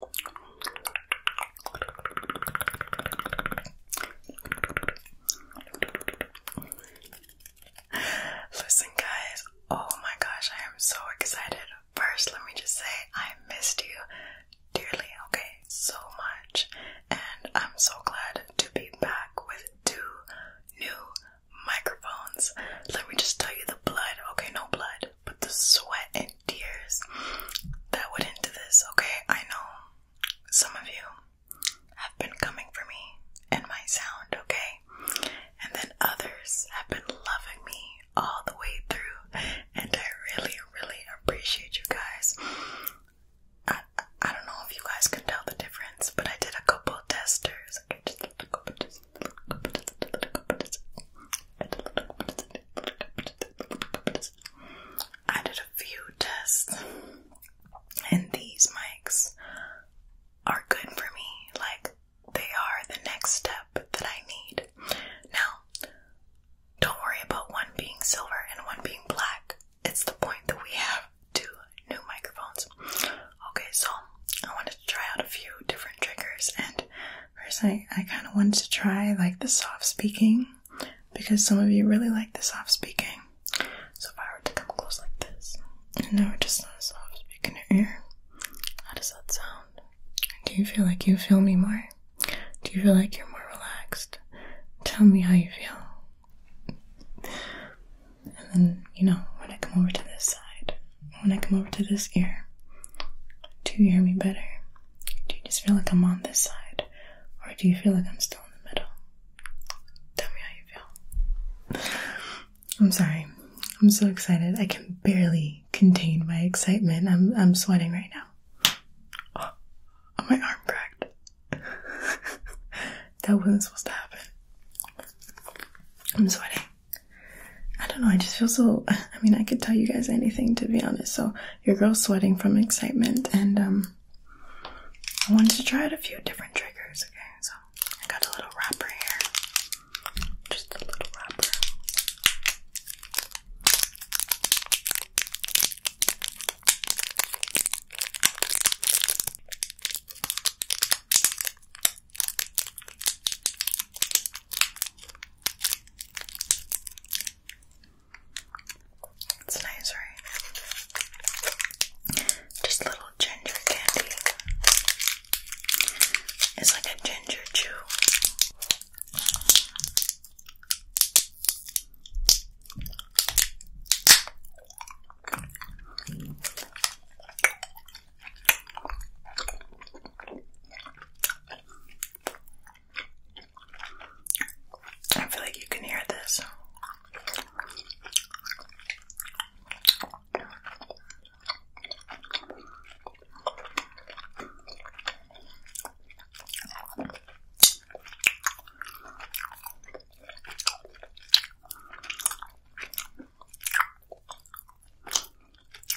Listen, guys, oh my gosh, I am so excited. First, let me just say I missed you dearly, okay, so much, and I'm so glad to be back with two new microphones. Let me just tell you the blood, okay, no blood, but the sweat and tears that went into this, okay? I know some of you have been coming for me and my sound, okay? And then others have been loving me all the way through, and I really, really appreciate you guys. I, I, don't know if you guys can tell the difference, but I did a couple testers. Okay, just a couple, just a I did a few tests, and these mics are good for me. Like, they are the next step that I need. Now, don't worry about one being silver and one being black. It's the point that we have two new microphones. Okay, so I wanted to try out a few different triggers and First, I, I kind of wanted to try like the soft speaking because some of you really like the soft speaking. So, if I were to come close like this and now were just soft speaking in your ear, how does that sound? Do you feel like you feel me more? Do you feel like you're more relaxed? Tell me how you feel. And then, you know, when I come over to this side, when I come over to this ear do you hear me better? Do you just feel like I'm on this side? Or do you feel like I'm still in the middle? Tell me how you feel. I'm sorry. I'm so excited. I can barely contain my excitement. I'm I'm sweating right now. Oh, my arm cracked. that wasn't supposed to happen. I'm sweating. I don't know, I just feel so I mean I could tell you guys anything to be honest. So your girl's sweating from excitement and um I wanted to try out a few different triggers, okay? So I got a little wrapper here. Just a little wrapper. It's nice, right? Just little ginger candy. It's like a ginger chew. I feel like you can hear this.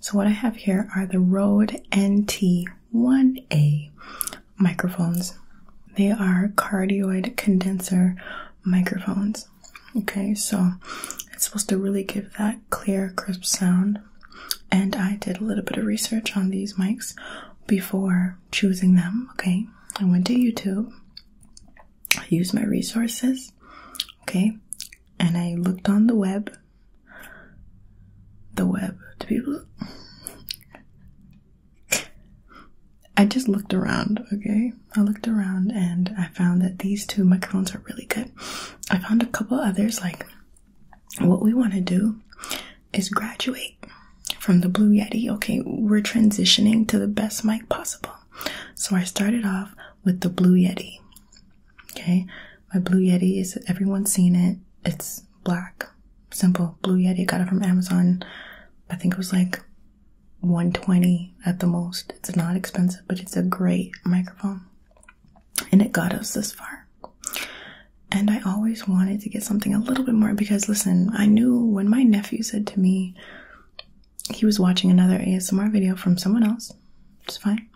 So, what I have here are the Rode NT1A microphones. They are cardioid condenser microphones. Okay, so it's supposed to really give that clear, crisp sound. And I did a little bit of research on these mics before choosing them. Okay, I went to YouTube, I used my resources, okay, and I looked on the web the web to people. I just looked around, okay? I looked around and I found that these two microphones are really good. I found a couple others. Like, what we want to do is graduate from the Blue Yeti. Okay, we're transitioning to the best mic possible. So I started off with the Blue Yeti. Okay, my Blue Yeti is everyone's seen it. It's black, simple Blue Yeti. Got it from Amazon. I think it was like 120 at the most. It's not expensive, but it's a great microphone, and it got us this far. And I always wanted to get something a little bit more because listen, I knew when my nephew said to me, he was watching another ASMR video from someone else is it's fine.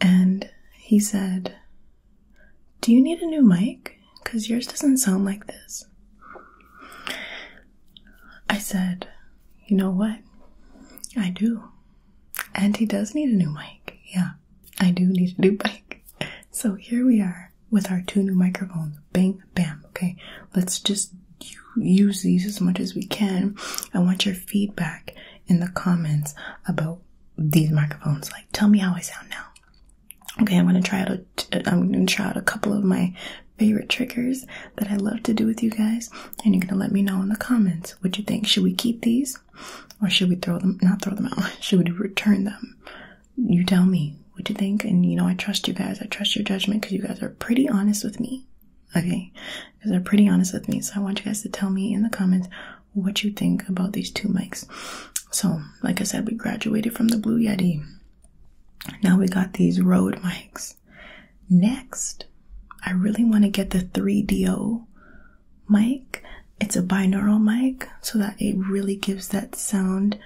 And he said, Do you need a new mic? Because yours doesn't sound like this. I said, You know what? I do. And he does need a new mic. Yeah, I do need a new mic. So here we are with our two new microphones. Bang, bam. Okay, let's just use these as much as we can. I want your feedback in the comments about these microphones. Like, tell me how I sound now. Okay, I'm gonna try out a, I'm gonna try out a couple of my favorite triggers that I love to do with you guys, and you're gonna let me know in the comments what you think. Should we keep these, or should we throw them? Not throw them out. Should we return them? You tell me what you think, and you know I trust you guys. I trust your judgment because you guys are pretty honest with me. Okay, because they're pretty honest with me. So I want you guys to tell me in the comments what you think about these two mics. So, like I said, we graduated from the Blue Yeti. Now we got these Rode mics. Next, I really want to get the 3DO mic. It's a binaural mic so that it really gives that sound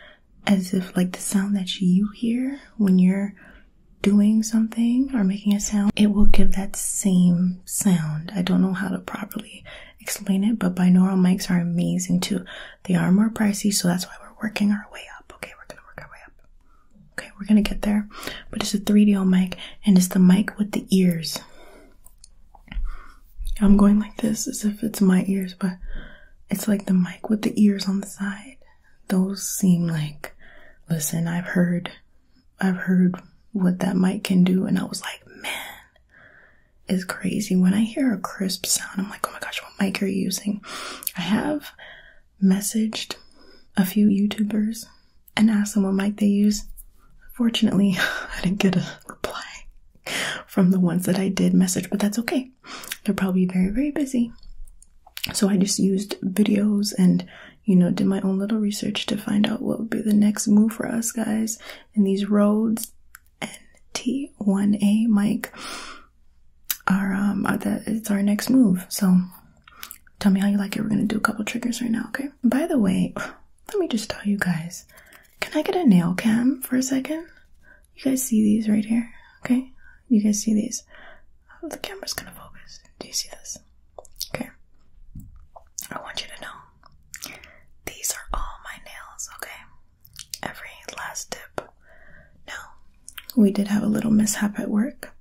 as if like the sound that you hear when you're doing something or making a sound, it will give that same sound. I don't know how to properly explain it, but binaural mics are amazing too. They are more pricey, so that's why we're working our way up. Okay, we're gonna work our way up. Okay, we're gonna get there. But it's a 3DO mic, and it's the mic with the ears. I'm going like this as if it's my ears, but it's like the mic with the ears on the side. Those seem like, listen, I've heard I've heard what that mic can do, and I was like, man, it's crazy. When I hear a crisp sound, I'm like, oh my gosh, what mic are you using? I have messaged a few YouTubers and asked them what mic they use. Fortunately, I didn't get a reply from the ones that I did message, but that's okay. They're probably very, very busy. So I just used videos and you know, did my own little research to find out what would be the next move for us guys And these roads. NT1A Mike, are um are the it's our next move. So tell me how you like it. We're gonna do a couple triggers right now, okay? By the way, let me just tell you guys, can I get a nail cam for a second? You guys see these right here, okay? You guys see these? Oh, the camera's gonna focus. Do you see this? Okay. I want you to know these are all my nails, okay? Every last tip. No, we did have a little mishap at work,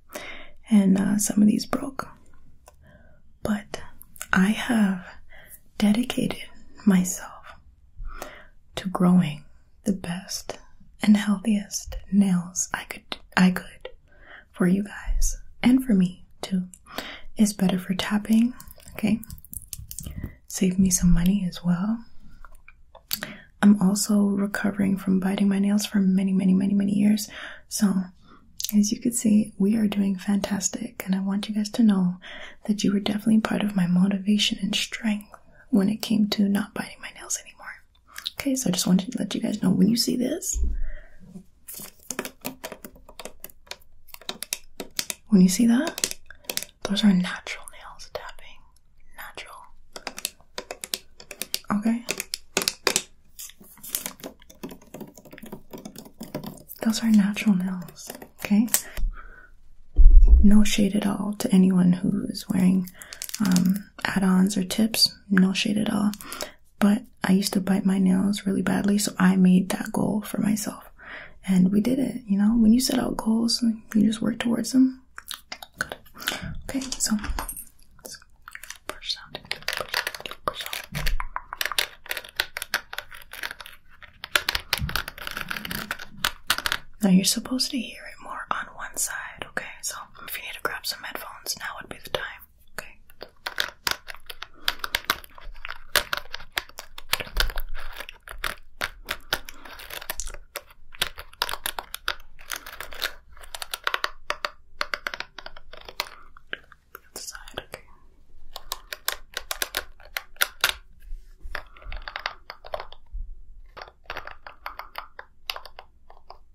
and uh, some of these broke. But I have dedicated myself to growing the best and healthiest nails I could I could for you guys and for me too it's better for tapping. Okay, save me some money as well. I'm also recovering from biting my nails for many, many, many, many years. So, as you can see, we are doing fantastic, and I want you guys to know that you were definitely part of my motivation and strength when it came to not biting my nails anymore. Okay, so I just wanted to let you guys know when you see this. When you see that, those are natural nails tapping. Natural. Okay? Those are natural nails, okay? No shade at all to anyone who is wearing um, add ons or tips. No shade at all. But I used to bite my nails really badly, so I made that goal for myself. And we did it, you know? When you set out goals, you just work towards them. Okay, so Now you're supposed to hear it more on one side, okay? So if you need to grab some headphones, now would be the time. Okay. The other Okay.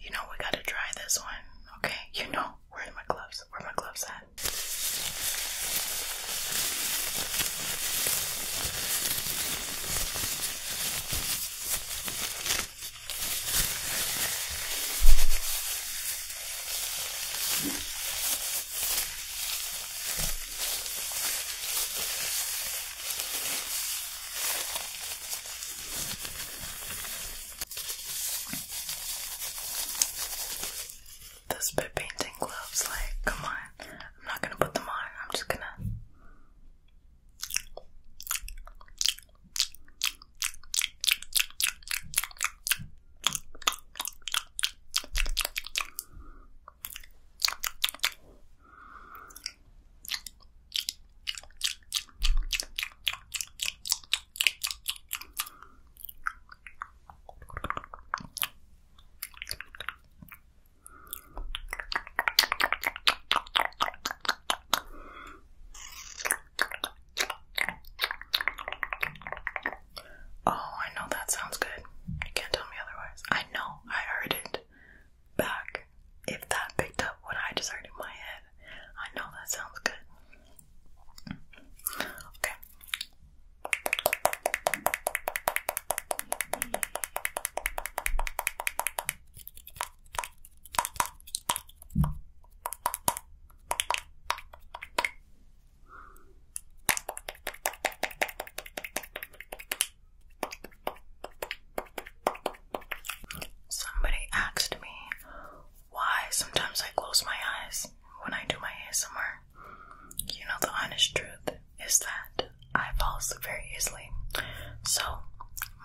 You know, we gotta try this one, okay? You know, where are my gloves? Where are my gloves at? Those bit painting gloves, like, come on. I'm not gonna put them on, I'm just gonna. Oh, I know that sounds good. You can't tell me otherwise. I know I heard it back. If that picked up what I just heard in my head, I know that sounds good. Okay. Somebody asked me why sometimes I close my eyes when I do my ASMR. You know, the honest truth is that I fall asleep very easily. So,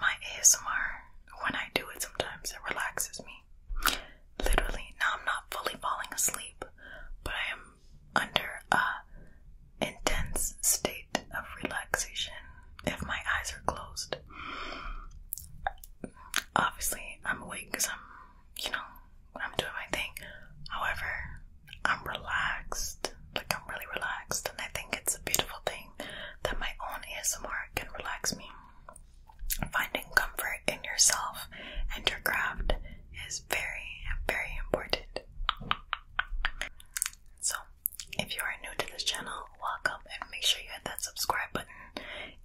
my ASMR, when I do it sometimes, it relaxes me. Literally, now I'm not fully falling asleep, but I am under a intense state of relaxation if my eyes are closed. Obviously, I'm awake because I'm, you know, I'm doing my thing. However, I'm relaxed. Like, I'm really relaxed, and I think it's a beautiful thing that my own ASMR can relax me. Finding comfort in yourself and your craft is very, very important. So, if you are new to this channel, welcome and make sure you hit that subscribe button.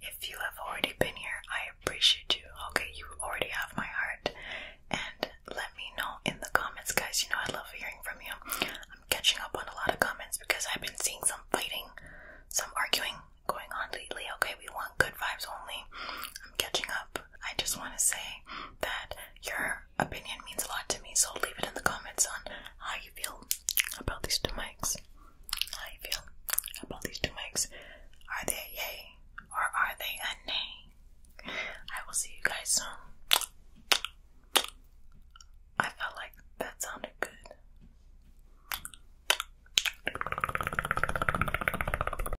If you have already been here, I appreciate you. Okay, you already have my heart. And let me know in the comments, guys. You know, I love hearing from you. I'm catching up on a lot of comments because I've been seeing some fighting, some arguing going on lately. Okay, we want good vibes only. I'm catching up. I just want to say that your opinion means a lot to me, so leave it in the comments on how you feel about these two mics. How you feel about these two mics. Are they yay or are they a nay? I will see you guys soon. I felt like that sounded good.